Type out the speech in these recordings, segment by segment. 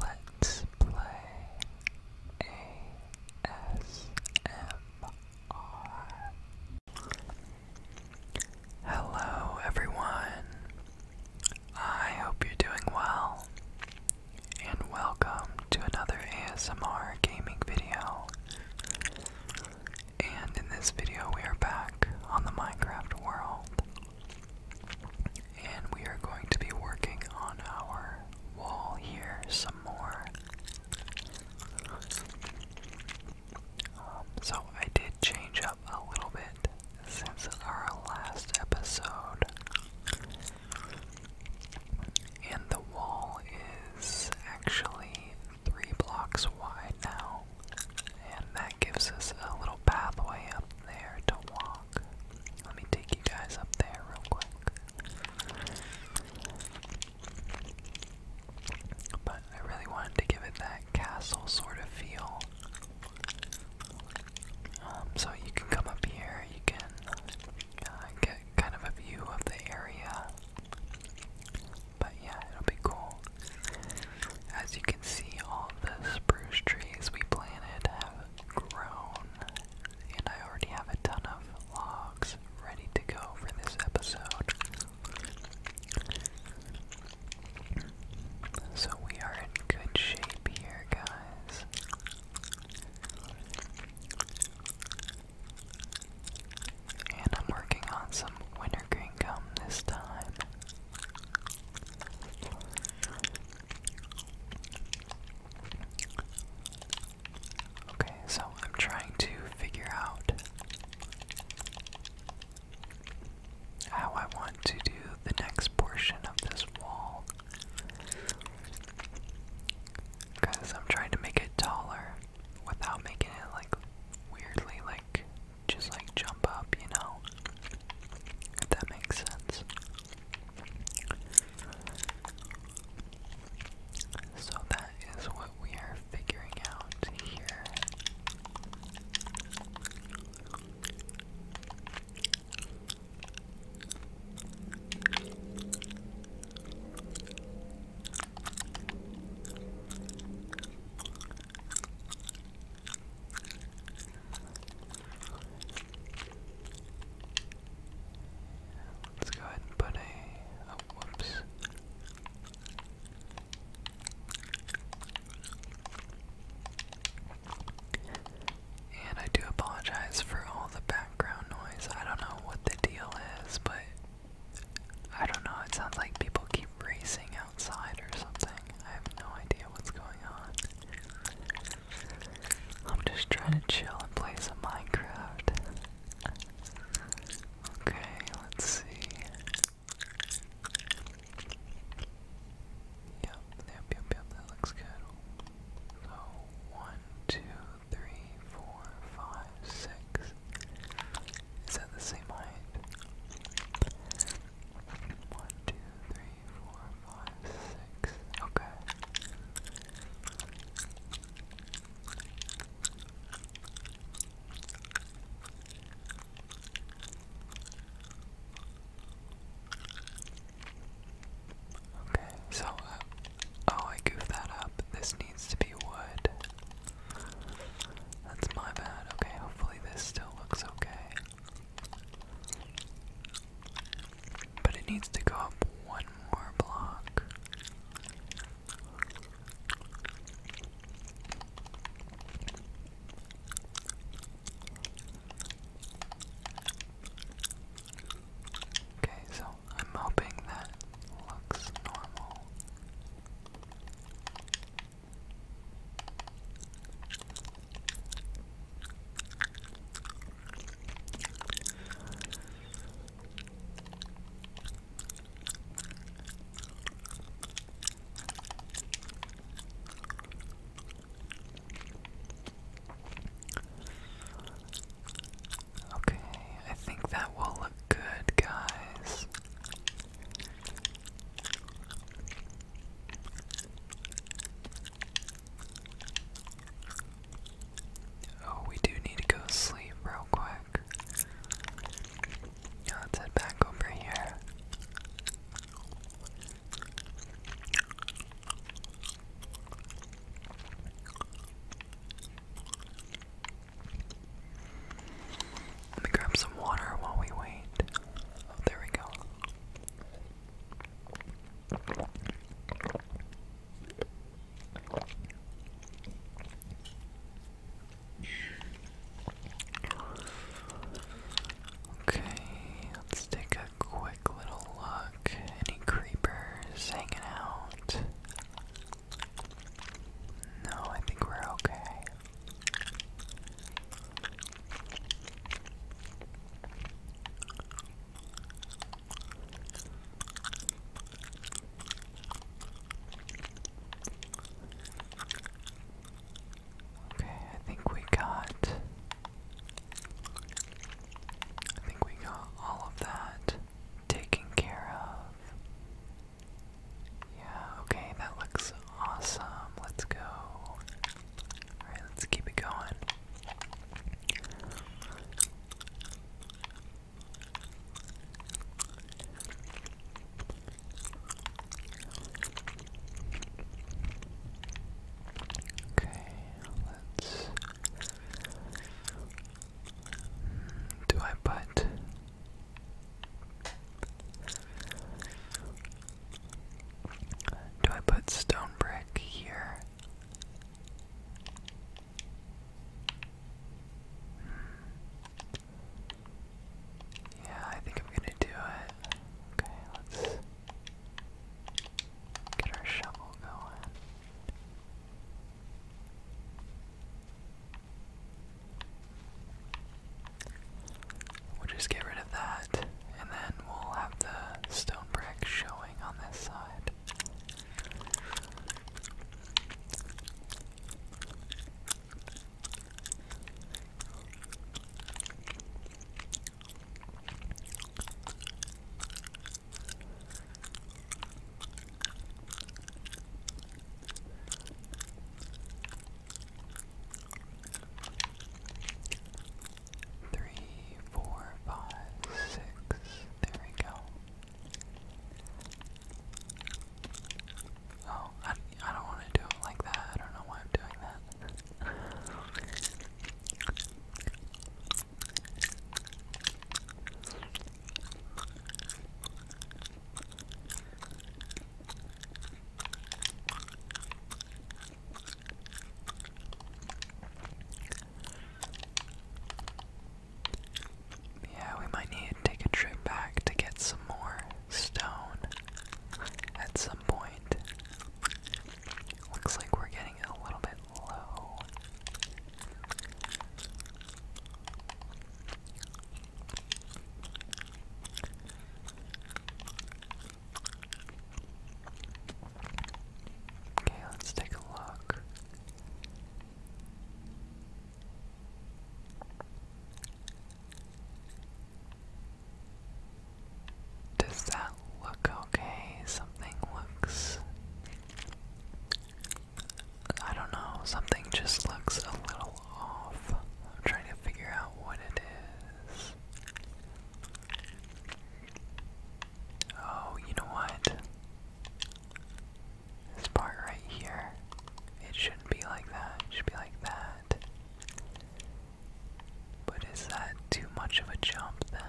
Let's play ASMR. Hello, everyone. I hope you're doing well, and welcome to another ASMR gaming video. And in this video, we are back on the Minecraft world. And we are going to be working on our wall here some more. Um, so I did change up a little bit since our last episode. And the wall is actually three blocks wide now. And that gives us a little pathway up there to walk. Let me take you guys up there real quick. But I really wanted to give it that castle sort of feel. Um, so you can come up here, you can uh, get kind of a view of the area. But yeah, it'll be cool. As you can see, all the spruce trees we planted have grown, and I already have a ton of logs ready to go for this episode. So we are in good shape here, guys. And I'm working on some wintergreen gum this time. Okay, so I'm trying to figure out how I want to do the next portion of this wall. Because I'm trying to make it taller without making it like weirdly like just like jump up, you know? that makes sense. So that is what we are figuring out here. Let's go ahead and put a. Oh, whoops. And I do apologize for all the background noise. I don't know what the deal is, but I don't know. It sounds like people keep racing out outside or something. I have no idea what's going on. I'm just trying to chill and play some Minecraft. Okay, let's see. Yep, yep, yep, yep, that looks good. So, one, two, three, four, five, six. Is that the same height? One, two, three, four, five, six. Okay. Okay, so, uh, oh, I goofed that up. This needs to be wood. That's my bad. Okay, hopefully this still looks okay. But it needs to go up one more block. Okay, so I'm hoping that looks normal. Okay, I think that will look good, guys. Oh, we do need to go sleep real quick. Let's head back over here. Let me grab some water while we wait. Oh, there we go. Okay, let's take a quick little look. Any creepers hanging out? No, I think we're okay. Okay, I think we got I think we got all of that taken care of. Yeah, okay, that looks awesome. Let's go. Alright, let's keep it going. Okay, let's. Hmm, do I put do I put stone brick here? Hmm. Yeah, I think I'm gonna do it. Okay, let's get our shovel going. We'll just get rid of that, and then we'll have the stone brick showing on this side. Three, four, five, six. There we go. Oh, I, I don't want to do it like that. I don't know why I'm doing that. Yeah, we might need to take a trip back to get some more stone at some point. Looks like we're getting a little bit low. Okay, let's take a look. Does that look okay? Something looks. I don't know, something just looks a little off. I'm trying to figure out what it is. Oh, you know what? This part right here, it shouldn't be like that. should be like that. But is that too much of a jump then?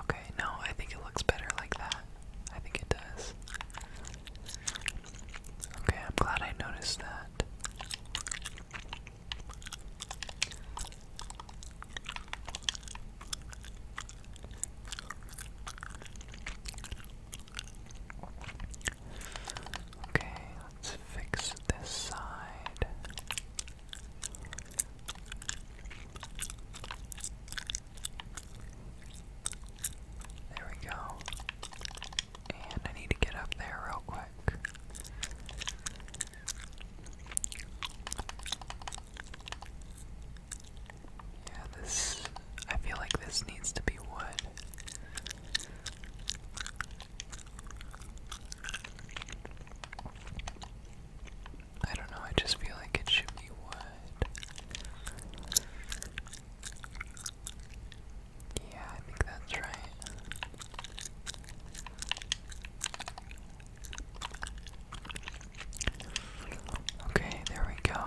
Okay, no, I think it looks better like that. I think it does. Okay, I'm glad I noticed that. Okay, let's fix this side. There we go. And I need to get up there real quick. Yeah, this. I feel like this needs to be wood. I don't know, I just feel like it should be wood. Yeah, I think that's right. Okay, there we go.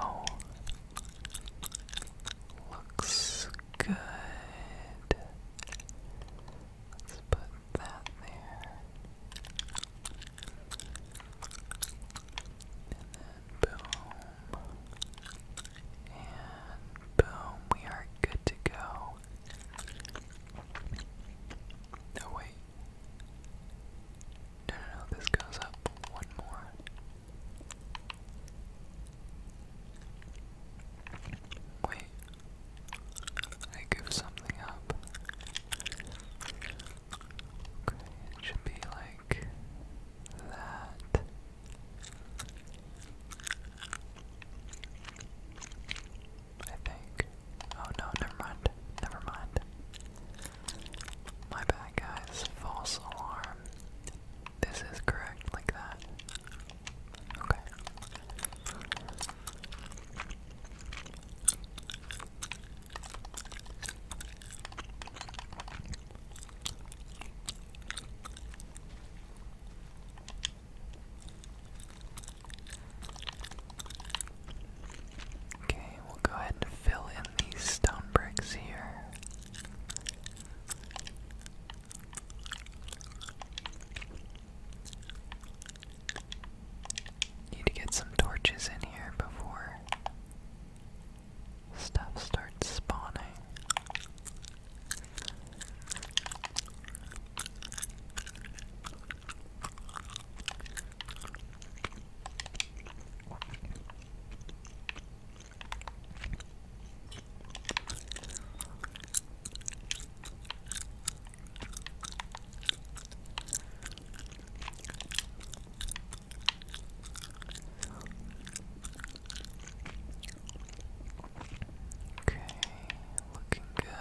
Looks good. Let's put that there. And then boom. And boom, we are good to go. No, wait. No, no, this goes up one more. Wait, I give something up. Okay, it should be like that. I think. Oh no, never mind. Never mind. My bad, guys. False alarm. This is correct, like that. Okay. Okay, we'll go ahead and fill in these stone bricks here. Need to get some torches in here before stuff starts spawning. Okay, looking good.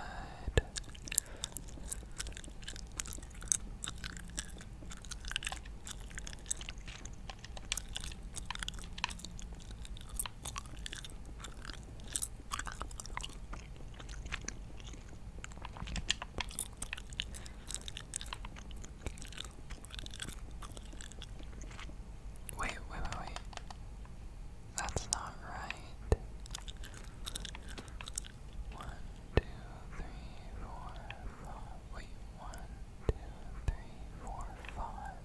Wait, wait, wait, wait. That's not right. One, two, three, four, five. one, two, three, four, five.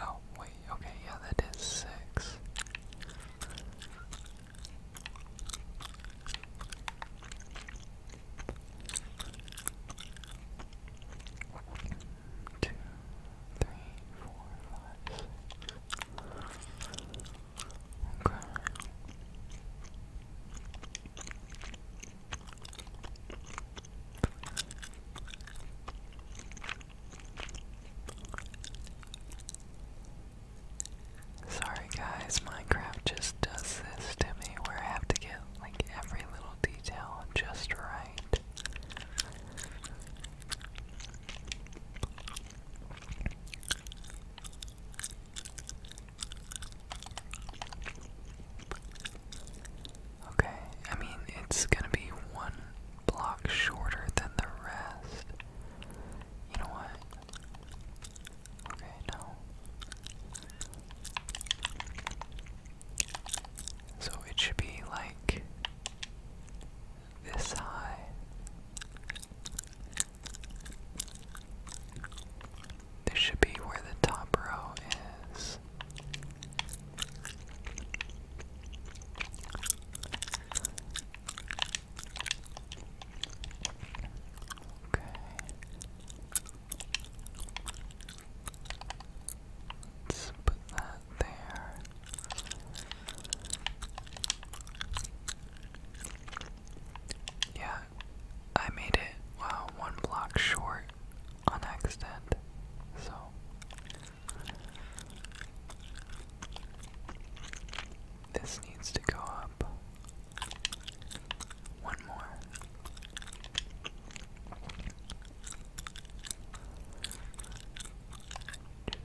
Oh, wait, okay, yeah, that is six. Two, three, four, five, six. Sorry guys, Minecraft just does this to me where I have to get like every little detail just right. Okay, I mean, it's gonna be one block shorter than the rest. You know what? Okay, no. So it should be like this high. This should be where the top row is. Okay. put that there. Yeah, I made it wow, one block short on accident. So this needs to go up one more.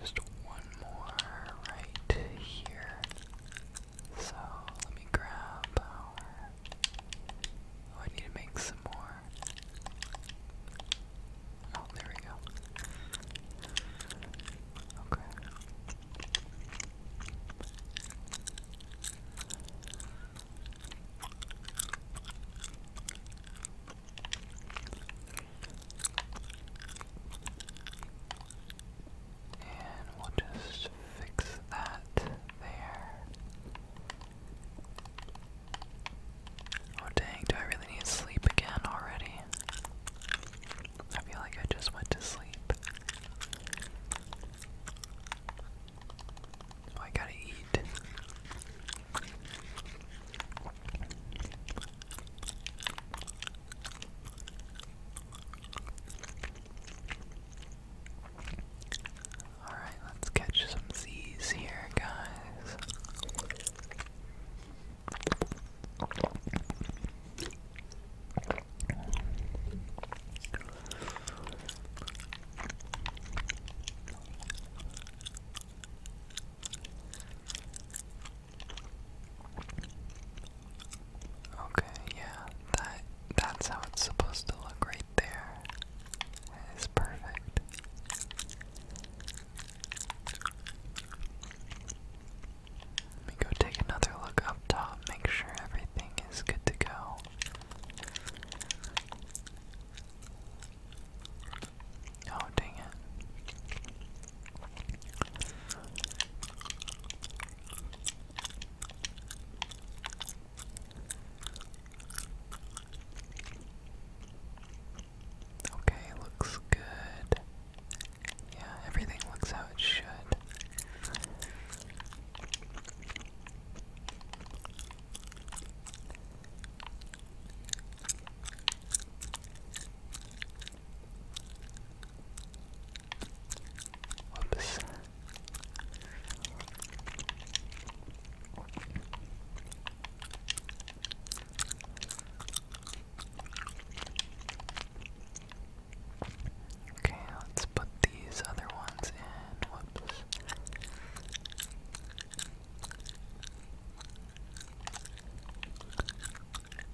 Just one more right here. So let me grab our. Oh, I need to make some more. Oh, there we go. Okay. And we'll just fix that there. Oh dang, do I really need sleep again already? I feel like I just went to sleep. Oh, I gotta eat. Alright, let's catch some seas here, guys. Okay, yeah, that that's how it's supposed to look right there. It's perfect. Let me go take another look up top, make sure everything is good to go. Oh, dang it. Okay, looks good. Yeah, everything looks how it should. Whoops. Okay, let's put these other ones in. Whoops.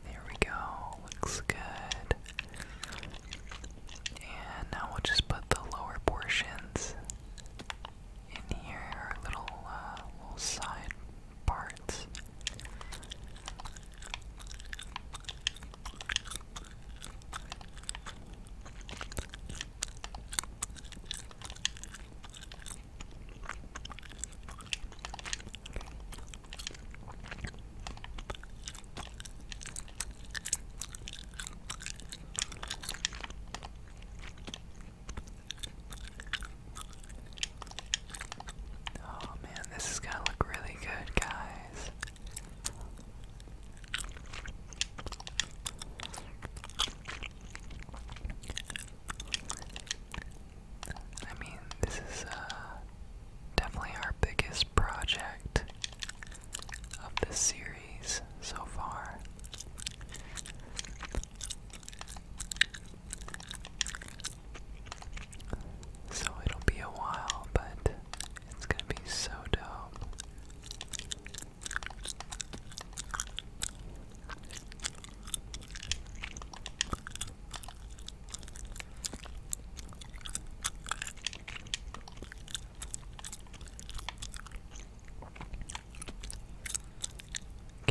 There we go, looks good. And now we'll just put the lower portions in here, little, uh, little side parts. Oh man, this is going to look really good, guys. I mean, this is uh, definitely our biggest project of the series so far. So it'll be a while, but it's gonna be so dope. Can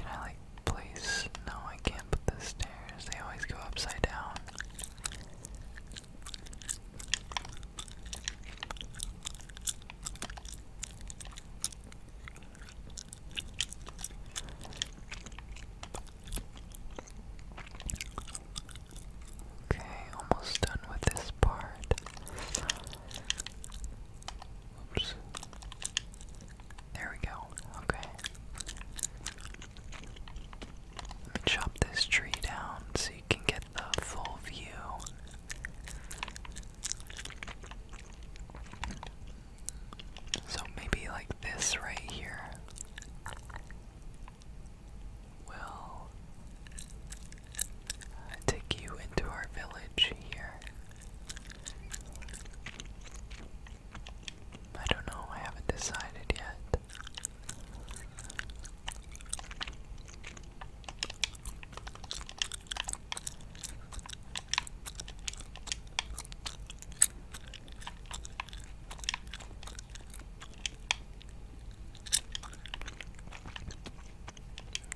I like place? No, I can't the stairs. They always go upside down. Okay, almost done with this part. Oops. There we go. Okay. Let me chop this tree down so you can get the full view. So maybe like this right here will take you into our village here. I don't know, I haven't decided yet.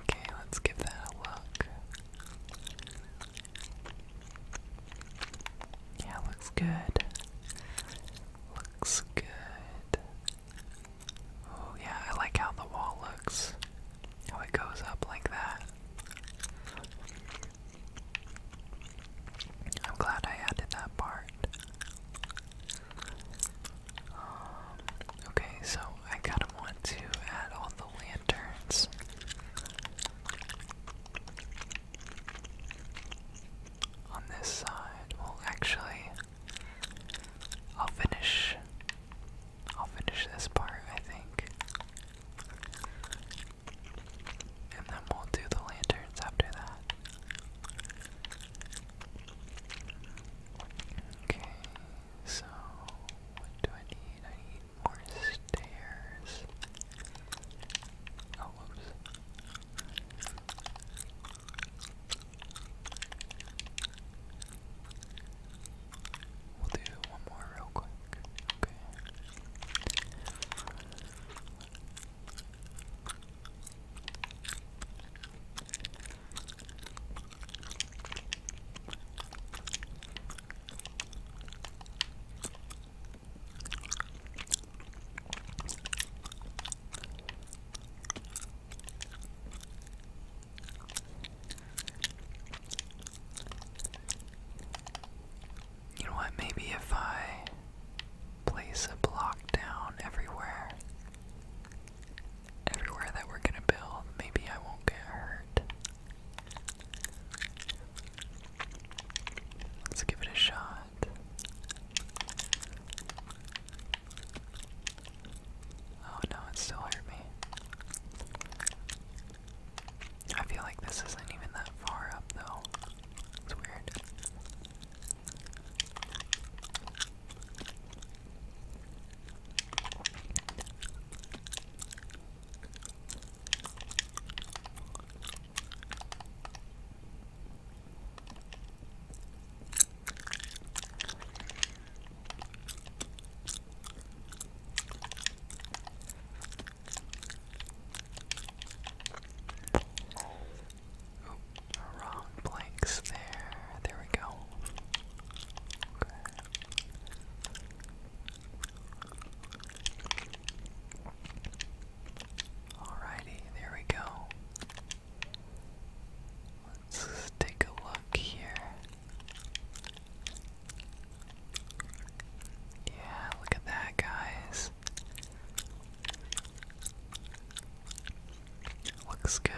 Okay, let's give that a look. Yeah, looks good. Looks good. Oh yeah, I like how the wall looks. How it goes up like that. I'm glad I added that part. Um, okay, so I kinda want to add all the lanterns. On this side, well, actually, I'll finish I'll finish this part, I think. And then we'll do the lanterns after that. Okay, so what do I need? I need more stairs. Oh, We'll do one more real quick. Okay. You know what? Maybe if I place a block down everywhere, everywhere that we're gonna build, maybe I won't get hurt. Let's give it a shot. Oh no, it still hurt me. I feel like this isn't even that far up though. It's weird. Oh, wrong blanks there. There we go. Okay. Alrighty, there we go. Let's take a look here. Yeah, look at that, guys. Looks good.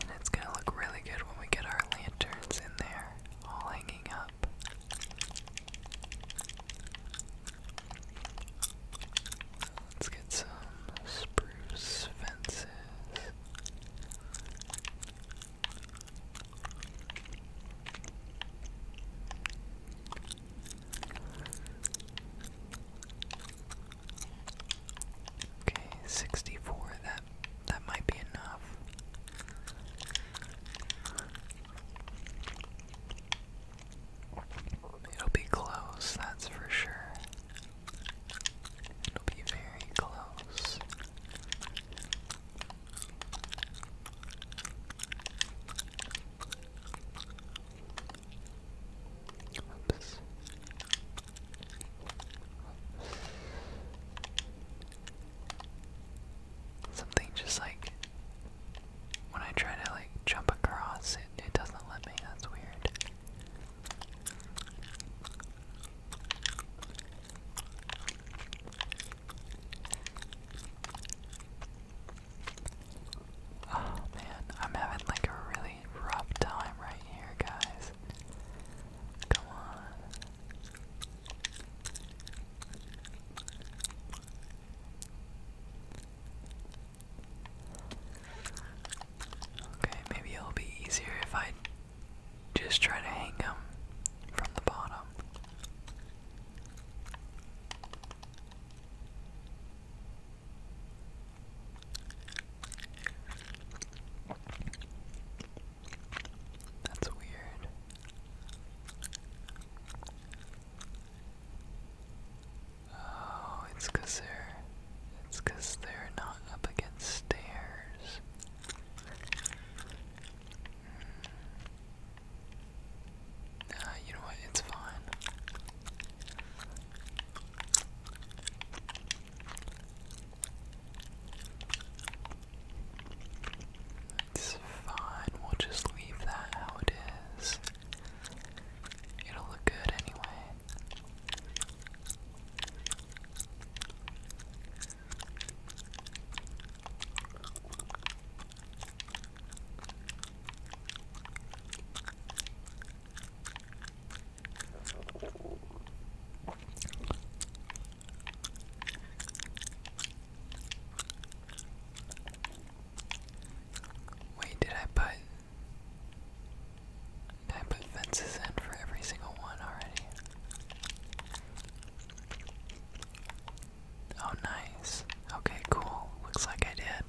And it's gonna look really good when we get our lanterns in there, all hanging up. Let's get some spruce fences. Okay, sixty-four. That that might be enough. It'll be close, that's for sure. It'll be very close. Oops. Something just like when I try to like jump across, it, it doesn't let me. That's weird. Oh man, I'm having like a really rough time right here, guys. Come on. Okay, maybe it'll be easier if I just try to hang them from the bottom. That's weird. Oh, it's cause they're it's they they're not up against stairs. Nah, mm. you know what, it's fine. It's fine, we'll just leave that how it is. It'll look good anyway. Wait, did I put I put fences in for every single one already? Oh nice. Okay, cool. Looks like I did.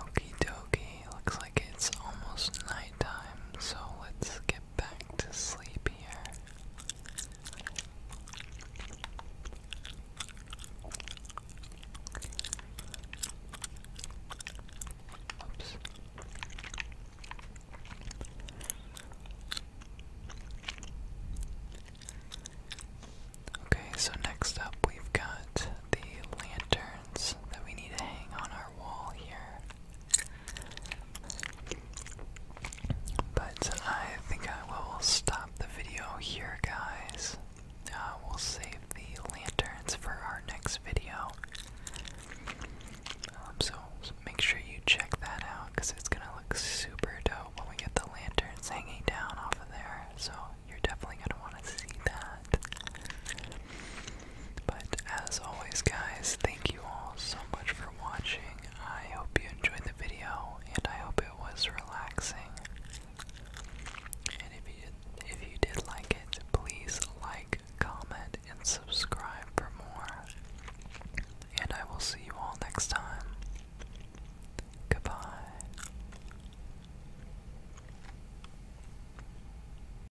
Okie dokie, looks like it's almost nighttime, so let's get back to sleep here. Okay, so next up we've got the lanterns that we need to hang on our wall here. But I think I will stop the video here, guys. Uh, we'll save the lanterns for our next video. Um, so make sure you check that out because it's gonna look super dope when we get the lanterns hanging down off of there. So you're definitely gonna want to see that. But as always, guys, thank you all so much for watching. I hope you enjoyed the video, and I hope it was relaxing. And if you did, if you did like it, please like, comment, and subscribe for more. And I will see you all next time. Goodbye.